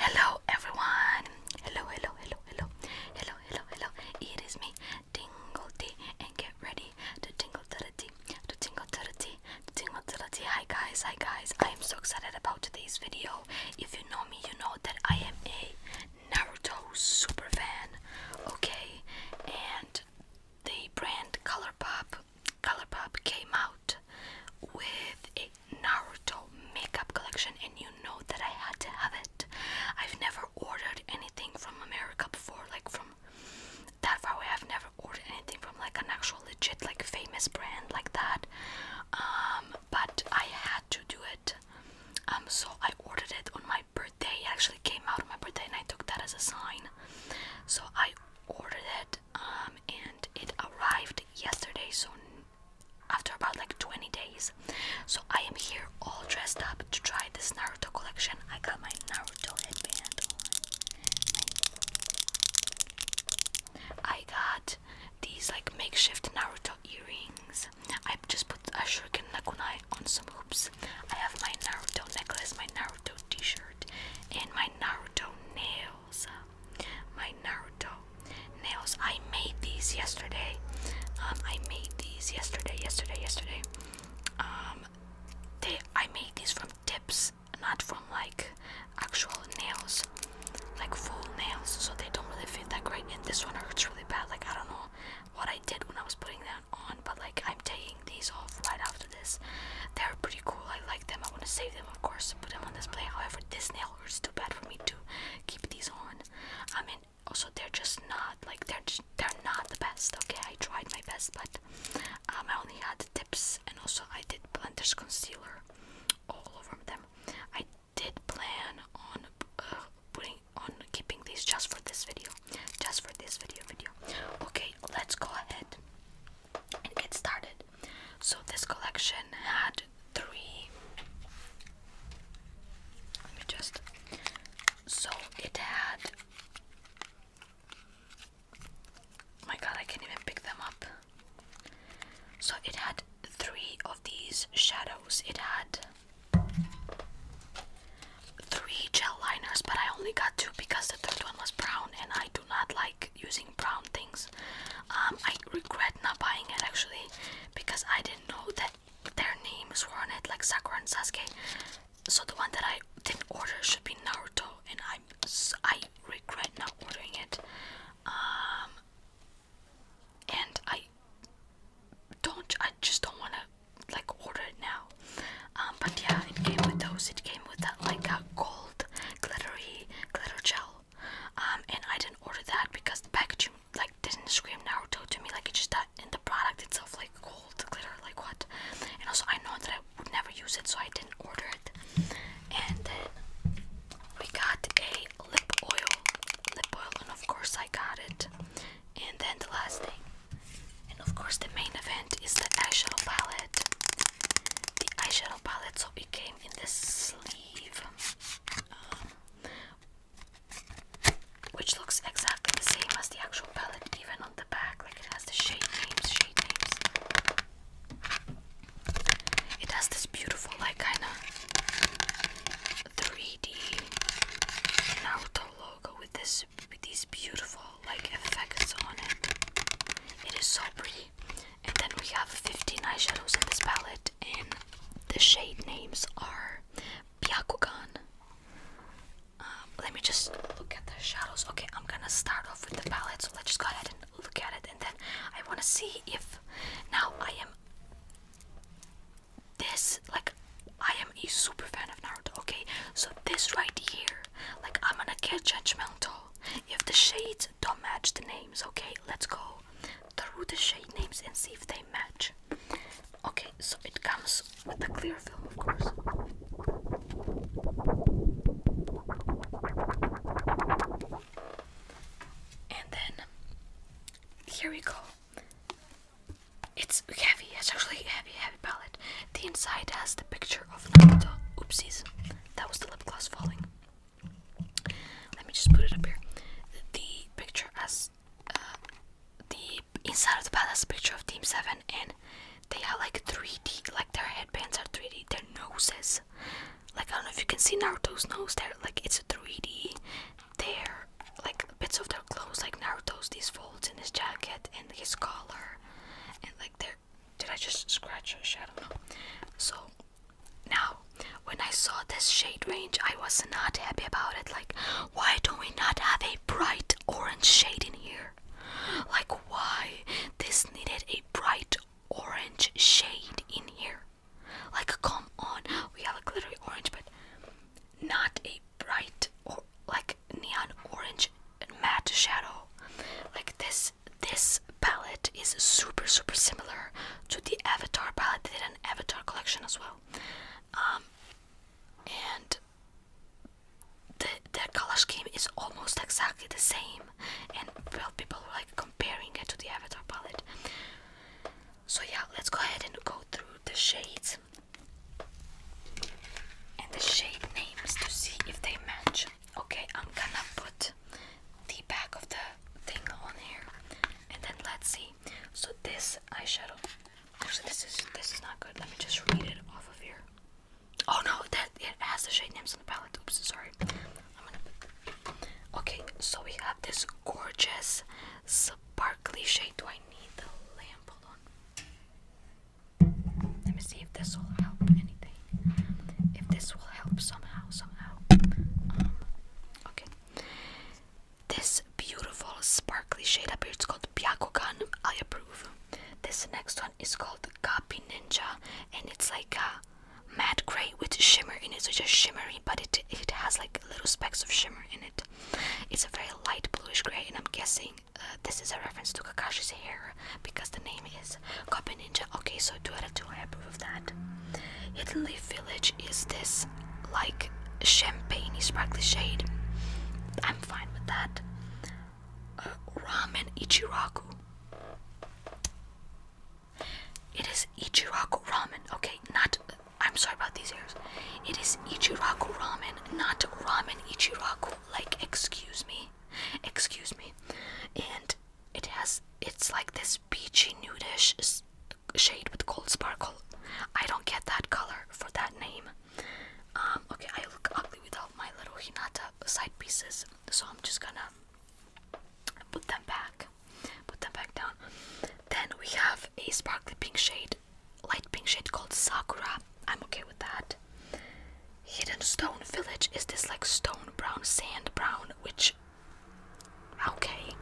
Hello everyone! Hello, hello, hello, hello, hello, hello, hello. It is me, Tingle T, and get ready to tingle to the tea, to tingle to the tea, to tingle to the tea. Hi guys, hi guys. I am so excited about today's video. If you know me, you know that I am a Naruto super fan. Okay, and the brand Colourpop, Colourpop came out with a Naruto makeup collection, and you know that I had to have it. I've never ordered anything from America before, like from that far away. I've never ordered anything from like an actual legit, like famous brand like that. Um, but I had to do it. Um, so I ordered it on my birthday. actually came out on my birthday, and I took that as a sign. So I ordered it, um, and it arrived yesterday. So after about like 20 days. So I am here all dressed up to try this Naruto collection. I got my Naruto headband on. I got these like makeshift Naruto earrings. I just put a shuriken nakunai on some hoops. I have my Naruto necklace, my Naruto t-shirt, and my Naruto nail uh, my Naruto nails. I made these yesterday. Um, I made these yesterday, yesterday, yesterday. Um, they I made these from tips, not from like actual nails, like full nails. So they don't really fit that great. And this one hurts really bad. Like I don't know what I did when I was putting that on, but like I'm taking these off right after this. They're pretty cool. I like them. I want to save them, of course, put them on this plate. However, this nail it's Too bad for me to keep these on. I mean, also they're just not like they're just, they're not the best. Okay, I tried my best, but um, I only had the tips, and also I did blenders concealer all over them. I did plan on uh, putting on keeping these just for this video, just for this video video. Okay, let's go ahead and get started. So this collection had three. Let me just. So it had. Oh my god, I can't even pick them up. So it had three of these shadows. It had three gel liners, but I only got two because the third one was brown, and I do not like using brown things. Um, I regret not buying it actually because I didn't know that their names were on it, like Sakura and Sasuke. So the one that I didn't order should be Naruto, and I I regret not ordering it. Um, and I don't I just don't want to like order it now. Um, but yeah, it came with those. It came with that like a gold glittery glitter gel. Um, and I didn't order that because the packaging like didn't scream Naruto to me. Like it just that in the product itself, like gold glitter, like what? And also I know that I would never use it, so I didn't order it. And then we got a lip oil, lip oil, and of course I got it. And then the last thing, and of course the main event is the eyeshadow palette. The eyeshadow palette, so it came in this sleeve, um, which looks exactly the same as the actual palette, even on the back. Like it has the shade names, shade names. It has this beautiful, like kind of 3D Naruto logo with this with these beautiful like effects on it. It is so pretty. And then we have 15 eyeshadows in this palette, and the shade names are Byakugan. Um, let me just look at the shadows. Okay, I'm gonna start off with the palette, so let's just go ahead and look at it, and then I wanna see if now I am this like I am a super fan of Naruto. Okay, so this right here, like I'm gonna get judgmental if the shades don't match the names okay let's go through the shade names and see if they match okay so it comes with a clear film of course and then here we go it's heavy it's actually heavy heavy palette the inside has the picture of Naruto oopsies that was the lip gloss falling let me just put it up here. The picture as uh, the inside of the palace picture of Team Seven, and they are like 3D. Like their headbands are 3D. Their noses, like I don't know if you can see Naruto's nose. There, like it's a 3D. They're like bits of their clothes, like Naruto's these folds in his jacket and his collar, and like they're. Did I just scratch a shadow? No. So now when I saw this shade range I was not happy about it. Like why do we not have a bright orange shade in here? Like why this needed a bright orange shade in here? Like come on, we have a glittery orange but not a bright or like neon orange matte shadow. Like this this palette is super super similar to the Avatar palette. They did an Avatar collection as well, um, and the their color scheme is almost exactly the same. And well, people were like comparing it to the Avatar palette. So yeah, let's go ahead and go through the shades and the shade names to see if they match. Okay, I'm gonna put the back of the thing on here, and then let's see. So this eyeshadow. Actually, this is this is not good. Let me just read it off of here. Oh no, that it has the shade names on the palette. Oops, sorry. Okay, so we have this gorgeous sparkly shade. Do I need the lamp? Hold on. Let me see if this will help anything if this will help somehow, somehow. Um, okay. This beautiful sparkly shade up here, it's called Byakugan. I approve. This next one is called Kapi Ninja, and it's like a matte gray with shimmer in it, so just shimmery, but it it has like little specks of shimmer in it. It's a very light bluish gray, and I'm guessing uh, this is a reference to Kakashi's hair because the name is Copy Ninja. Okay, so 2 out of 2, I approve of that. Italy Village is this like champagne sparkly shade. I'm fine with that. Uh, ramen Ichiraku. It is Ichiraku ramen. Okay, not. I'm sorry about these errors. It is Ichiraku ramen, not ramen Ichiraku. Like, excuse me. Excuse me. And it has, it's like this peachy nudish shade with gold sparkle. I don't get that color for that name. Um, okay, I look ugly without my little Hinata side pieces, so I'm just gonna put them back, put them back down. Then we have a sparkly pink shade, light pink shade called Sakura. I'm okay with that. Hidden Stone Village is this like stone brown, sand brown, which Okay.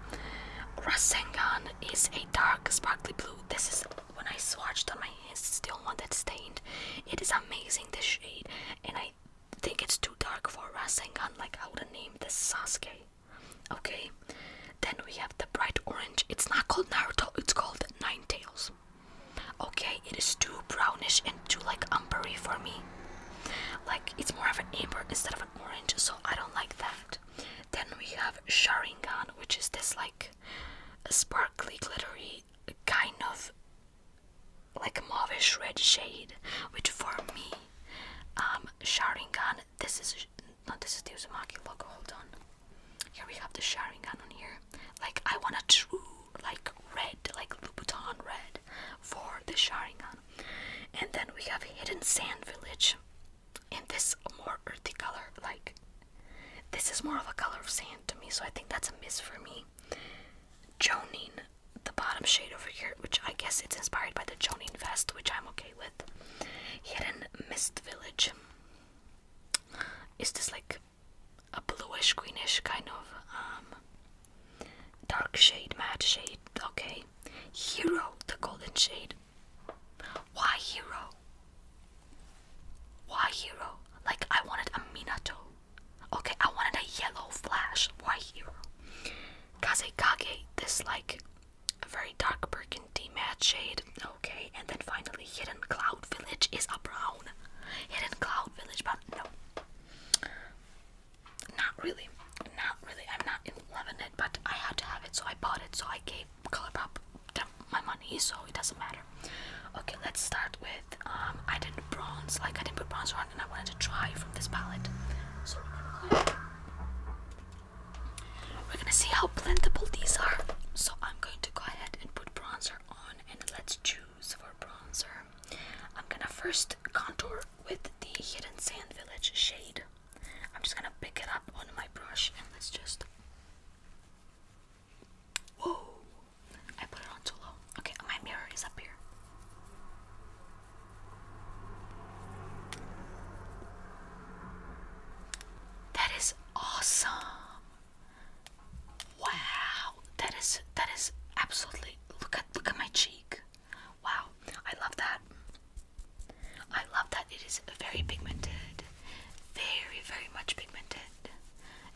Rasengan is a dark sparkly blue. This is when I swatched on my hands, still the only stained. It is amazing this shade and I think it's too dark for Rasengan like I would have named this Sasuke. Okay. Then we have the bright orange. It's not called Naruto, it's called Nine Tails. Okay, it is too brownish and too like umbery for me. Like it's more of an amber instead of an orange, so I don't like that. Then we have Sharingan, which is this like sparkly, glittery kind of like mauvish red shade, which for me, um, Sharingan. This is not this is the Uzumaki logo. Hold on. Here we have the Sharingan on here. Like I want a true like red, like Louboutin red for the Sharingan. And then we have Hidden Sand Village in this more earthy color. Like, this is more of a color of sand to me, so I think that's a miss for me. Jonin, the bottom shade over here, which I guess it's inspired by the Jonin vest, which I'm okay with. Hidden Mist Village. Is this like a bluish, greenish kind of um, Dark shade, matte shade, okay. Hero, the golden shade. Why hero? Why hero? Like I wanted a Minato. Okay, I wanted a yellow flash. Why hero? Kazekage, this like a very dark burgundy matte shade. Okay, and then finally Hidden Cloud Village is a brown. Hidden Cloud Village, but no. Not really, not really. I'm not in love with it, but I had to have it, so I bought it. So I gave Colourpop my money, so it doesn't matter. Okay, let's start with. Um, I did not bronze, like I didn't put bronzer on, and I wanted to try from this palette. So we're gonna, we're gonna see how blendable these are. So I'm going to go ahead and put bronzer on, and let's choose for bronzer. I'm gonna first contour with the Hidden Sand Village shade. I'm just gonna pick it up on my brush and let's just. Whoa! I put it on too low. Okay, my mirror is up here. That is awesome. Wow, that is that is absolutely look at look at my cheek. Wow, I love that. I love that it is very pigmented. Very, very much pigmented.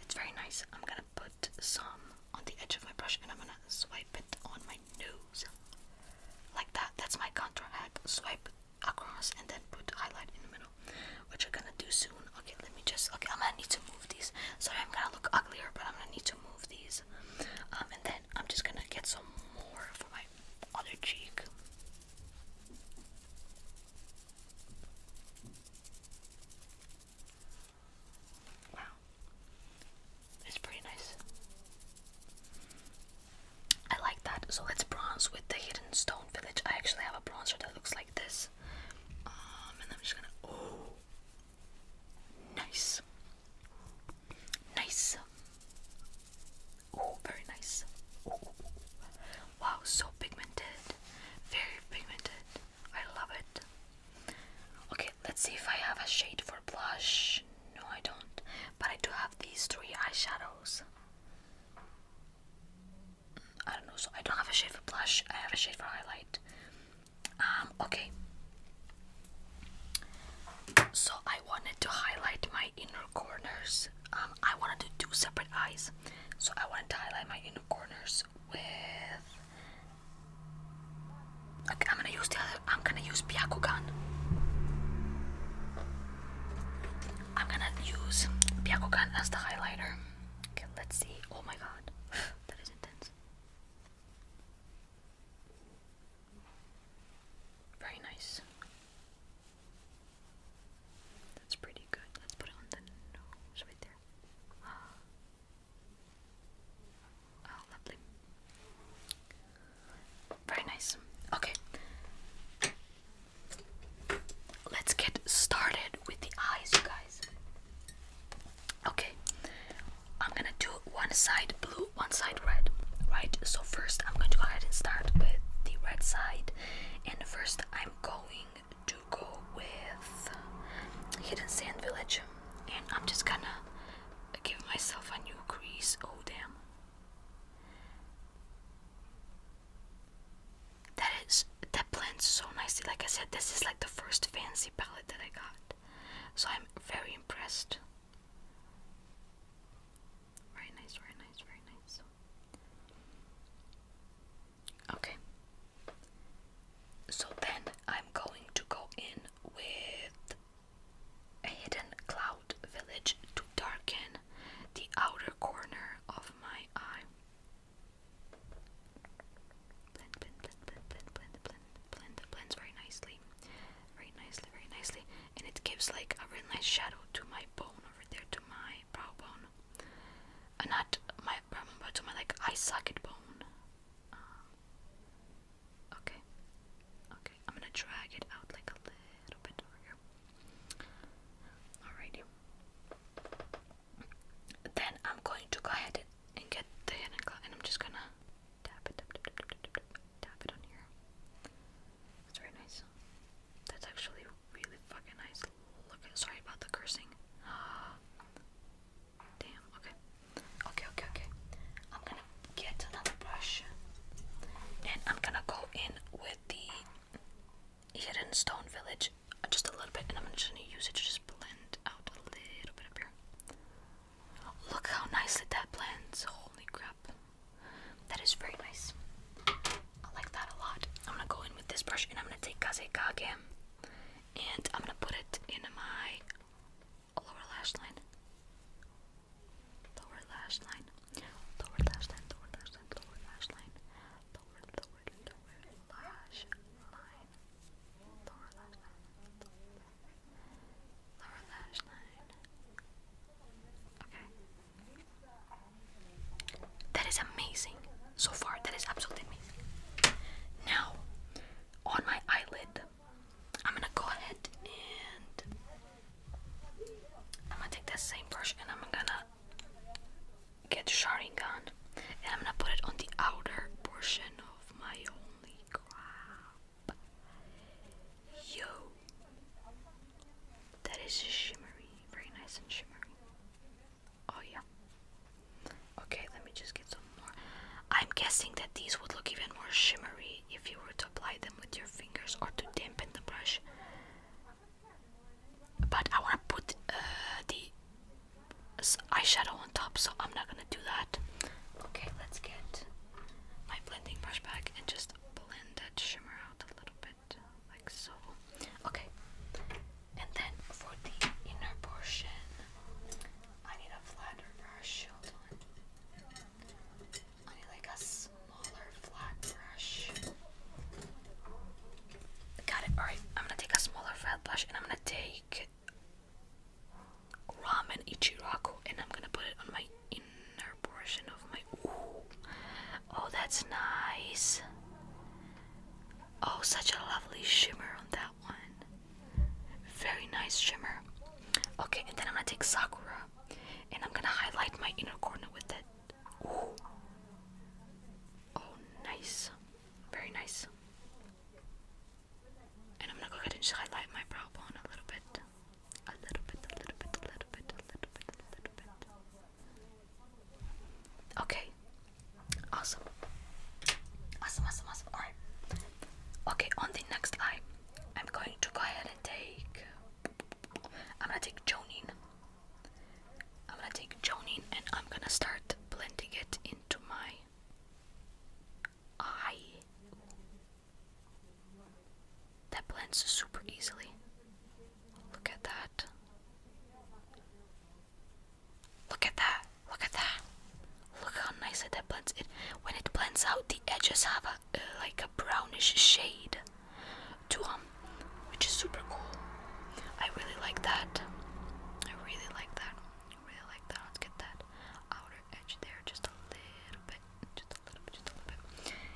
It's very nice. I'm gonna put some on the edge of my brush and I'm gonna swipe it on my nose. Like that. That's my contour hack. Swipe across and then put highlight in the middle. Which I'm gonna do soon. Okay, let me just okay, I'm gonna need to move these. Sorry I'm gonna look uglier, but I'm gonna need to move remove these. Um, and then I'm just gonna get some more for my other cheek. Wow. It's pretty nice. I like that. So it's bronze with the hidden stone village. I actually have a bronzer that looks like this. Um, and I'm just gonna. Oh, Nice. Nice. Oh, very nice. Wow, so pigmented. Very pigmented. I love it. Okay, let's see if I have a shade for blush. No, I don't. But I do have these three eyeshadows. Mm, I don't know, so I don't have a shade for blush, I have a shade for highlight. Um, okay. So I wanted to highlight my inner corners. Um, I wanted to do separate eyes. So I wanted to highlight my inner corners with. Okay, I'm gonna use the other. I'm gonna use Byakugan. I'm gonna use Byakugan as the highlighter. Okay, let's see. Oh my god, that is intense. Very nice. That's pretty good. Let's put it on the nose right there. Oh, lovely. Very nice. Okay. Let's get started with the eyes, you guys. Okay, I'm gonna do one side blue, one side red, right? So first I'm going to go ahead and start with the red side. And first I'm going to go with Hidden Sand Village. And I'm just gonna give myself a new crease. Oh damn. That is that blends so nicely. Like I said, this is like the first fancy palette that I got. So I'm very impressed. Very nice, very nice, very nice. Okay. So then I'm going to go in with a hidden cloud village to darken the outer corner of my eye. Blend, blend, blend, blend, blend, blend, blend, Blends very nicely, very nicely, very nicely, and it gives like a really nice shadow to my bone over there, to my brow bone, and uh, not my brow um, bone, to my like eye socket bone. Um, okay, okay, I'm gonna drag it out like a little bit over here. Alrighty. Then I'm going to go ahead and get the hidden glow. And I'm just gonna tap it, tap, tap, tap, tap, tap, tap, tap it on here. That's very nice. That's actually really fucking nice. Look Sorry about the cursing. Damn. Okay. Okay. Okay. Okay. I'm gonna get another brush, and I'm gonna go in with the hidden stone village just a little bit, and I'm just gonna use it to just blend out a little bit up here. Look how nicely that blends. Holy crap. That is very nice. I like that a lot. I'm gonna go in with this brush and I'm gonna take kaze Kazekage and I'm gonna put it in my lower lash line. Lower lash line. Lower lash line, lower lash line, lower lash line. lower, lower lash line lower lash line, lower lash line. Okay. That is amazing. So far, that is absolutely amazing. Now, on my eyelid, I'm gonna go ahead and I'm gonna take that same brush and I'm gonna get the gun and I'm gonna put it on the outer portion of my only crab. Yo! That is shimmery, very nice and shimmery. Oh, yeah. Okay, let me just get some more. I'm guessing that these would look even more shimmery if you were to apply them with your fingers or to dampen the brush. But I want to put uh, the eyeshadow on top, so I'm not gonna do that. Okay, let's get my blending brush back and just blend that shimmer out a little bit, like so. Okay, and then for the inner portion, I need a flatter brush. I need like a smaller flat brush. Got it. Alright, I'm gonna take a smaller flat brush and I'm gonna take ramen ichiraku, and I'm gonna put it on my inner portion of my. Oh, that's nice. Oh, such a lovely shimmer on that one. Very nice shimmer. Okay, and then I'm gonna take Sakura and I'm gonna highlight my inner corner with it. Oh, nice. Very nice. And I'm gonna go ahead and highlight my brow bone a little bit. A little bit, a little bit, a little bit, a little bit, a little bit. Okay. Awesome. Awesome, awesome, awesome. Alright. Okay, on the next eye, I'm going to go ahead and take. I'm gonna take Jonine. I'm gonna take Jonine and I'm gonna start blending it into my I. That blends super easily. Look at that. Look at that. Look at that. Look how nicely that blends it. When it blends out, the edges have a uh, like a brownish shade to them, which is super cool. I really like that. I really like that really like that. Let's get that outer edge there just a little bit, just a little bit, just a little bit.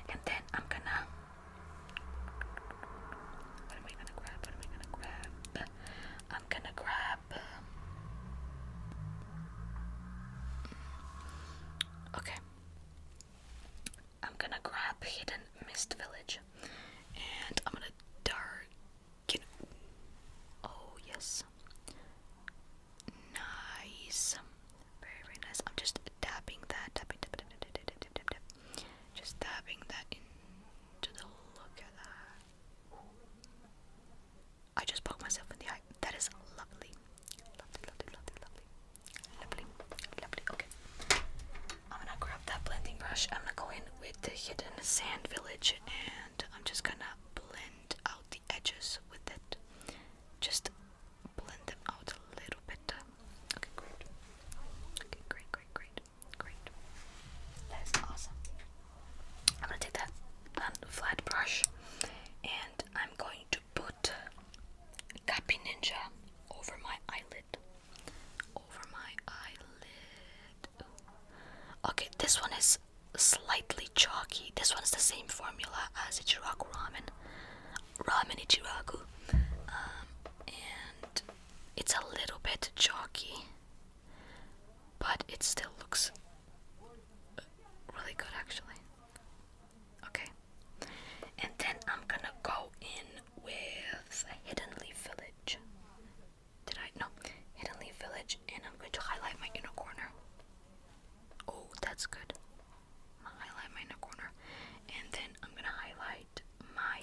And then I'm gonna. What am I gonna grab? What am I gonna grab? I'm gonna grab. Um, okay. I'm gonna grab Hidden Mist Village, and I'm gonna dart oh yes. Nice. Very very nice. I'm just tapping that, tapping, tap, tap, tap, tap, Just tapping that into the look at that. I just poked myself in the eye. That is Lovely, lovely, lovely, lovely. Lovely, lovely. Okay. I'm gonna grab that blending brush. I'm gonna go in with the hidden sand village and I'm just gonna blend out the edges with it. Just blend them out a little bit. Okay, great. great, great, great, great. That's awesome. I'm gonna take that flat brush and I'm going to put Guppy Ninja over my eyelid. Over my eyelid. Okay, this one is slightly chalky. This one's the same formula as Ichiraku ramen. Ramen Ichiraku. Um, and it's a little bit chalky, but it still looks really good actually. Okay. And then I'm gonna go in with Hidden Leaf Village. Did I? No. Hidden Leaf Village, and I'm going to highlight my inner corner. Oh, that's good. highlight my inner corner, and then I'm gonna highlight my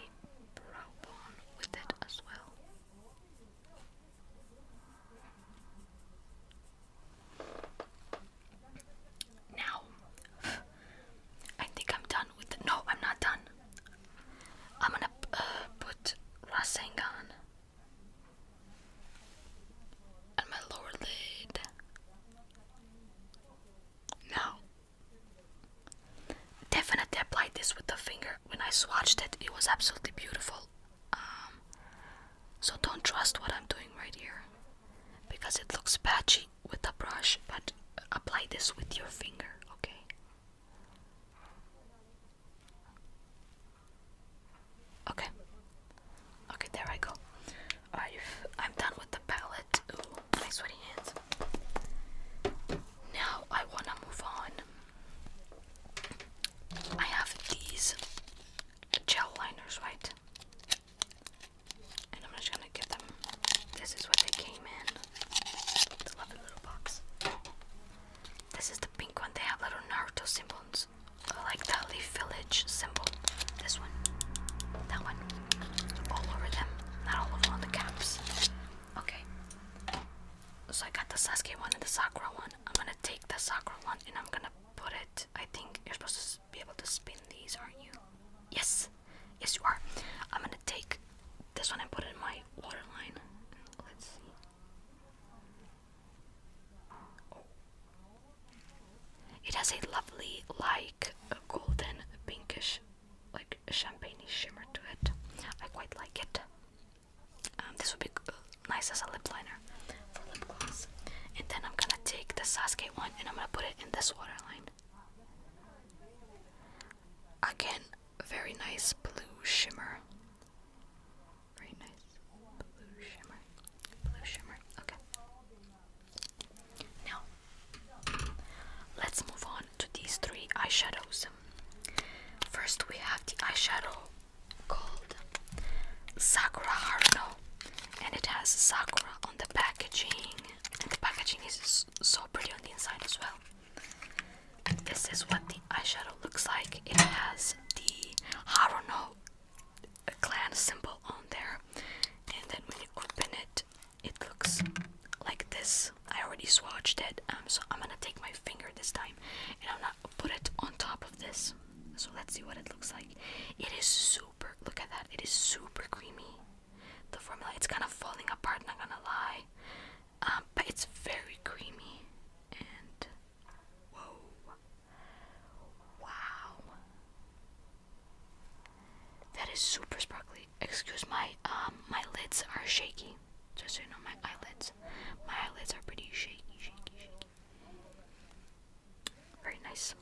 brow bone with it as well. Now, I think I'm done with it. No, I'm not done. I'm gonna uh, put Rasengan on my lower lid. No. Definitely apply this with the finger. When I swatched it, it was absolutely beautiful. Um, so don't trust what I'm doing right here because it looks patchy with the brush, but apply this with your finger, okay? Okay. Okay, there I go. Alright, I'm done with the palette. my sweaty hands. Now I want to move on. I have these gel liners, right? And I'm just gonna get them. This is what they came in. lovely little box. This is the pink one. They have little Naruto symbols, like the Leaf Village symbol. This one, that one, all over them. Not all over on the caps. Okay. So I got the Sasuke one and the Sakura one. I'm gonna take the Sakura one and I'm gonna put it. I think you're supposed to be able to spin these, aren't you? Yes, yes you are. I'm gonna take this one and put it in my waterline. Let's see. It has a lovely, like, golden, pinkish, like, champagne shimmer to it. I quite like it. Um, this would be nice as a lip liner for lip gloss. And then I'm gonna take the Sasuke one and I'm gonna put it in this waterline. Again, a very nice blue shimmer. Very nice blue shimmer. Blue shimmer. Okay. Now, let's move on to these three eyeshadows. First, we have the eyeshadow called Sakura Haruno, and it has Sakura on the packaging, and the packaging is so pretty on the inside as well. This is what the eyeshadow looks like. It has the Haruno clan symbol on there, and then when you open it, it looks like this. I already swatched it, um, so I'm gonna take my finger this time and I'm gonna put it on top of this. So let's see what it looks like. It is super, look at that, it is super creamy. The formula, it's kind of falling apart, not gonna lie um, but it's very creamy and whoa, wow, that is super sparkly. Excuse my um, my lids are shaky. Just so you know, my eyelids, my eyelids are pretty shaky, shaky, shaky. Very nice.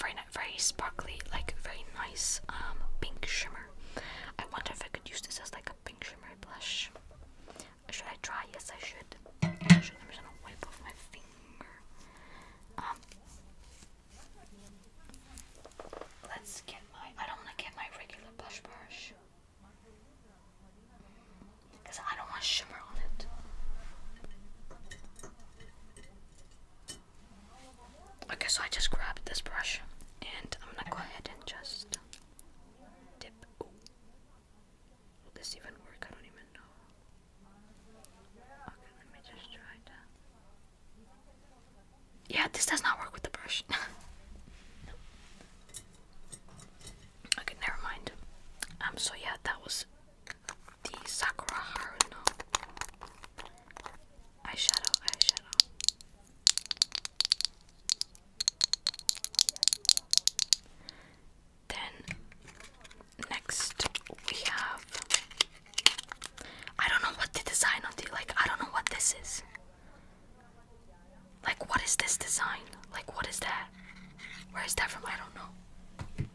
Very, very sparkly, like very nice um, pink shimmer. I wonder if I could use this as like a pink shimmer. Should I try? Yes, I should. Um, let's get my. I don't wanna get my regular blush brush because I don't want shimmer on it. Okay, so I just grabbed this brush, and I'm gonna go ahead and just Dip. Oh. Will this even work? I don't even know. Okay, let me just try that. Yeah, this does not work with the brush. Okay, never mind. Um, so yeah, that was the Sakura Haruno eyeshadow, eyeshadow. Then next we have I don't know what the design of the like I don't know what this is. Like what is this design? Like what is that? Where is that from? I don't know.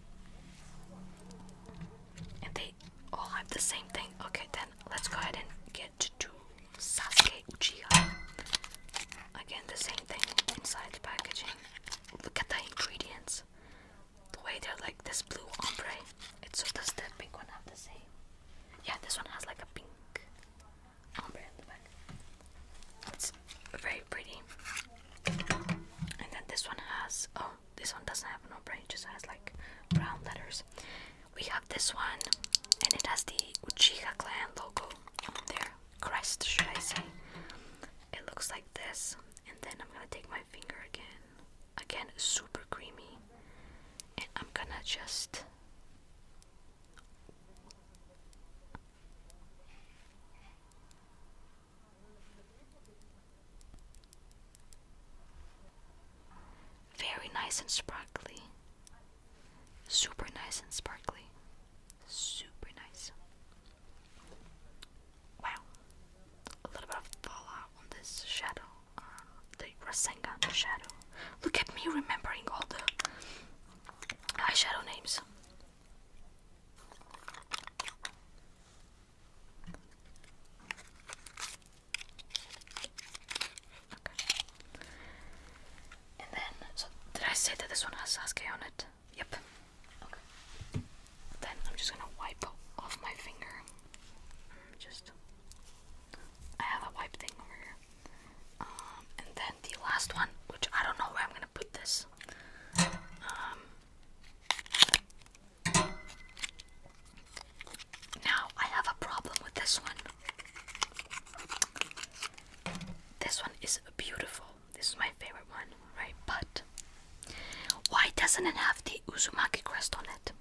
And they all have the same thing. Okay, then let's go ahead and get it to Sasuke Uchiha. Again, the same thing inside the packaging. Look at the ingredients. The way they're like this blue ombre. It's so does the pink one have the same? Yeah, this one has like a pink ombre in the back. It's very pretty. And then this one has oh, this one doesn't have an ombre, it just has like brown letters. We have this one, and it has the Uchiha clan logo on their crest, should I say. It looks like this, and then I'm gonna take my finger again. Again, super creamy, and I'm gonna just. Very nice and sparkly. Super nice and sparkly. Super nice. Wow. A little bit of fallout on this shadow. Uh, the Rasengan shadow. Look at me remembering all the eyeshadow names. Okay. And then, did I say that this one has Sasuke on it? Yep. Okay. Then I'm just gonna wipe off my finger. Just, I have a wipe thing over here. Um, and then the last one, which I don't know where I'm gonna put this. Um, now I have a problem with this one. This one is beautiful. This is my favorite one, right? But why doesn't it have the Uzumaki crest on it?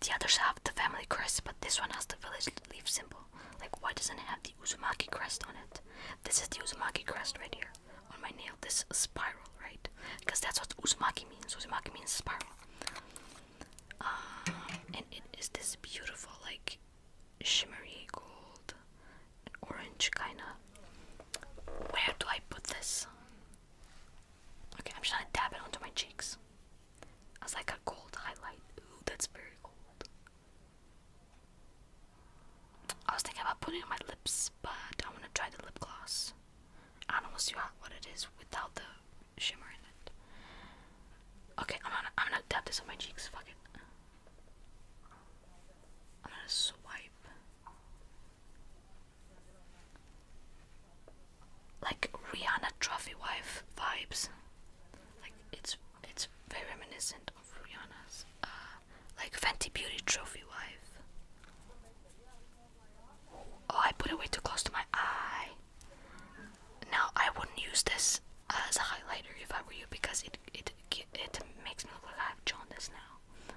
The others have the family crest, but this one has the village leaf symbol. Like, why doesn't it have the Uzumaki crest on it? This is the Uzumaki crest right here on my nail. This spiral, right? Because that's what Uzumaki means. Uzumaki means spiral um, and it is this beautiful like shimmery gold and orange kind of where do I put this okay I'm just gonna dab it onto my cheeks as like a gold highlight ooh that's very gold I was thinking about putting it on my lips but I want to try the lip gloss I don't know what it is without the shimmer in it. Okay, I'm gonna I'm gonna dab this on my cheeks. Fuck it. I'm gonna swipe. Like Rihanna Trophy Wife vibes. Like it's it's very reminiscent of Rihanna's uh, like Fenty Beauty Trophy Wife. Oh, I put it way too close to my eye. Now I wouldn't use this as a highlighter if I were you because it it it makes me look like I have jaundice now.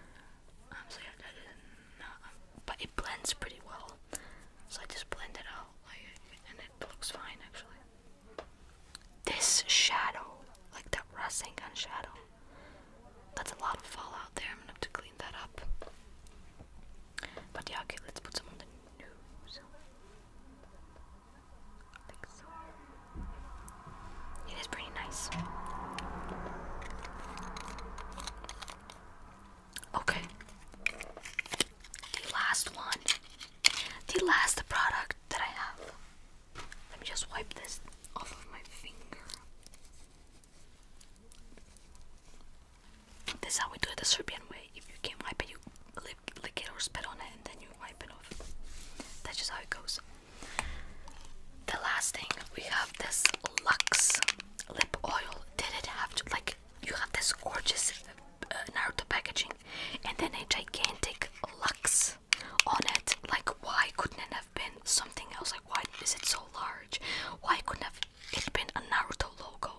Um, so yeah, that is um, but it blends pretty well. So I just blend it out, and it looks fine actually. This shadow, like that Rasengan shadow, that's a lot of fallout there. I'm going to clean that up. But yeah, okay, let's put some on the nose. I think so. It is pretty nice. Okay. The last one. The last product that I have. Let me just wipe this off of my finger. This how we do it the Serbian way. If you can't wipe it, you lick it or spit on it and then you wipe it off. That's just how it goes. The last thing we have this Lux lip oil. Did it have to like you have this gorgeous uh, Naruto packaging and then a gigantic Lux on it? Like why couldn't it have been something else? Like why is it so large? Why couldn't have it's been a Naruto logo.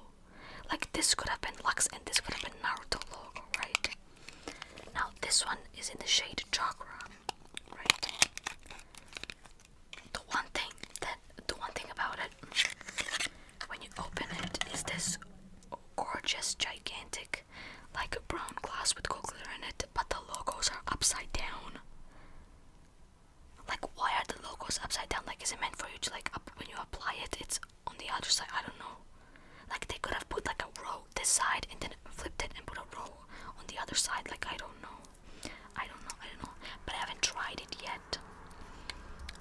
Like this could have been Lux and this could have been Naruto logo, right? Now this one is in the shade Chakra, right? The one thing that the one thing about it when you open it is this gorgeous gigantic like brown glass with gold glitter in it, but the logos are upside down. Like, why are the logos upside down? Like, is it meant for you to, like, up when you apply it, it's on the other side? I don't know. Like, they could have put, like, a row this side and then flipped it and put a row on the other side. Like, I don't know. I don't know. I don't know. But I haven't tried it yet.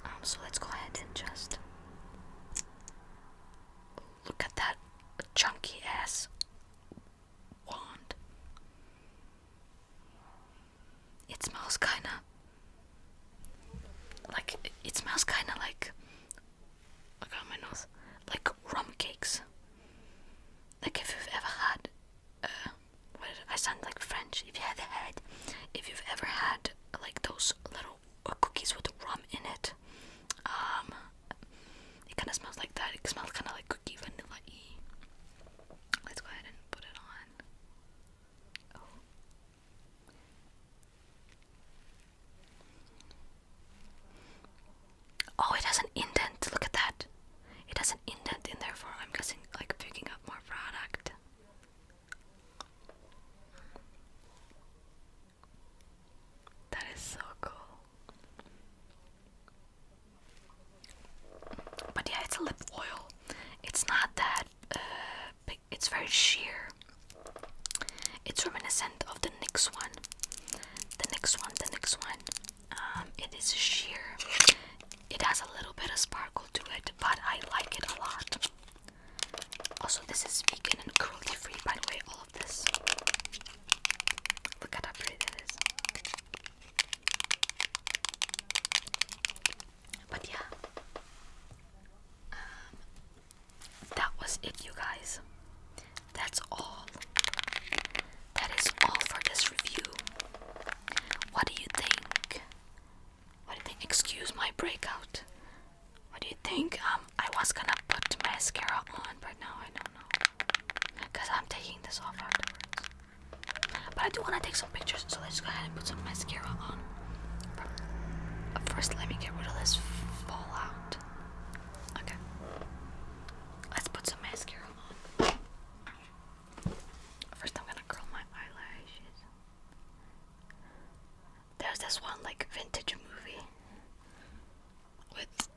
Um, so let's go ahead and just look at that chunky ass wand it smells kind of like it, smells kind of like I oh got my nose like rum cakes. Like if you've ever had, uh, what I sound like French. If you had had, if you've ever had like those little uh, cookies with rum in it, um, it kind of smells like that. It smells kind of like cookie vanilla. Let's go ahead and put it on. Oh. it has an indent. Look at that. It has an indent in there for, I'm guessing, like picking up more product. That is so cool. But yeah, it's a lip oil. It's not that uh, it's very sheer. It's reminiscent of the next one. The next one, the next one. Um, it is sheer. It has a little bit of sparkle to it, but I like it a lot. Also, this is vegan and cruelty free, by the way, all of this. Look how pretty that is. But yeah, um, that was it, you guys. That's all. That is all for this review. What do you think? What do you think? Excuse my breakout. What do you think? Um, I was gonna put mascara on, but now I don't know. Cause I'm taking this off afterwards. But I do want to take some pictures, so let's go ahead and put some mascara on. First, let me get rid of this fallout. Okay. Let's put some mascara on. First, I'm gonna curl my eyelashes. There's this one, like, vintage movie with.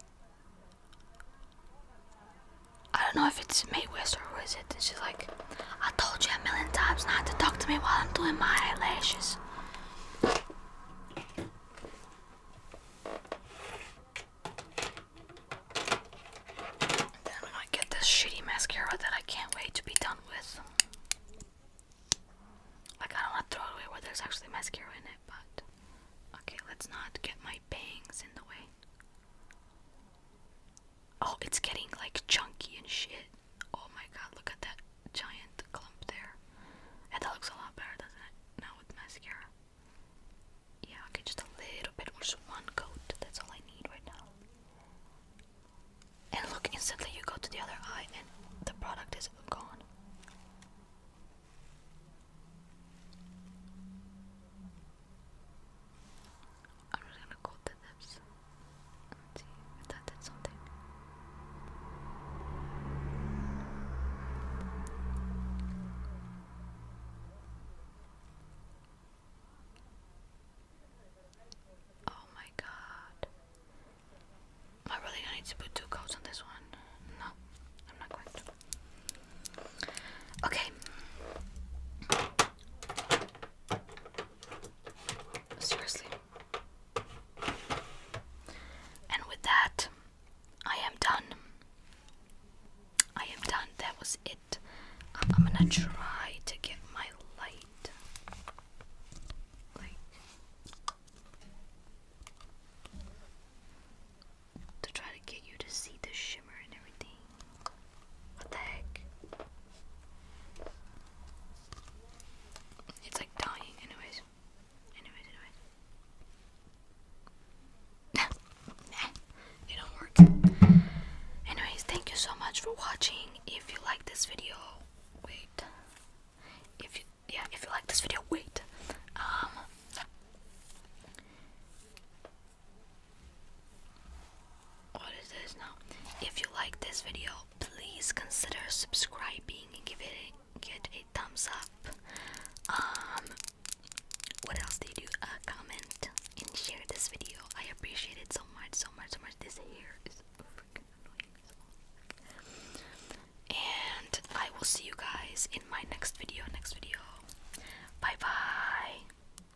I don't know if it's West or who is it. It's just like I told you a million times not to talk to me while I'm doing my eyelashes. Then i get this shitty mascara that I can't wait to be done with. Like, I don't want to throw it away where there's actually mascara in it, but. Okay, let's not get my bangs in the way. Oh, it's getting like chunky and shit. Oh my god, look at that giant clump there. And that looks a lot better, doesn't it? Now with mascara. Yeah, okay, just a little bit just one coat. That's all I need right now. And look, instantly you go to the other eye and the product is gone. I'm just gonna coat the lips and see if that something. Oh my god. Am I really gonna need to put two coats on this one? No, I'm not going to. Okay. Seriously. And with that, I am done. I am done. That was it. I'm, gonna try to get my light. Like. To try to get you to see the shape. It's like dying, anyways. Anyways, anyways. it don't work. Anyways, thank you so much for watching. If you like this video, wait. If you yeah, if you like this video, wait. Um, what is this now? If you like this video, please consider subscribing and give it a, get a thumbs up. Um, what else do you do? Uh, comment and share this video. I appreciate it so much, so much, so much. This hair is freaking annoying. And I will see you guys in my next video. Next video. Bye bye.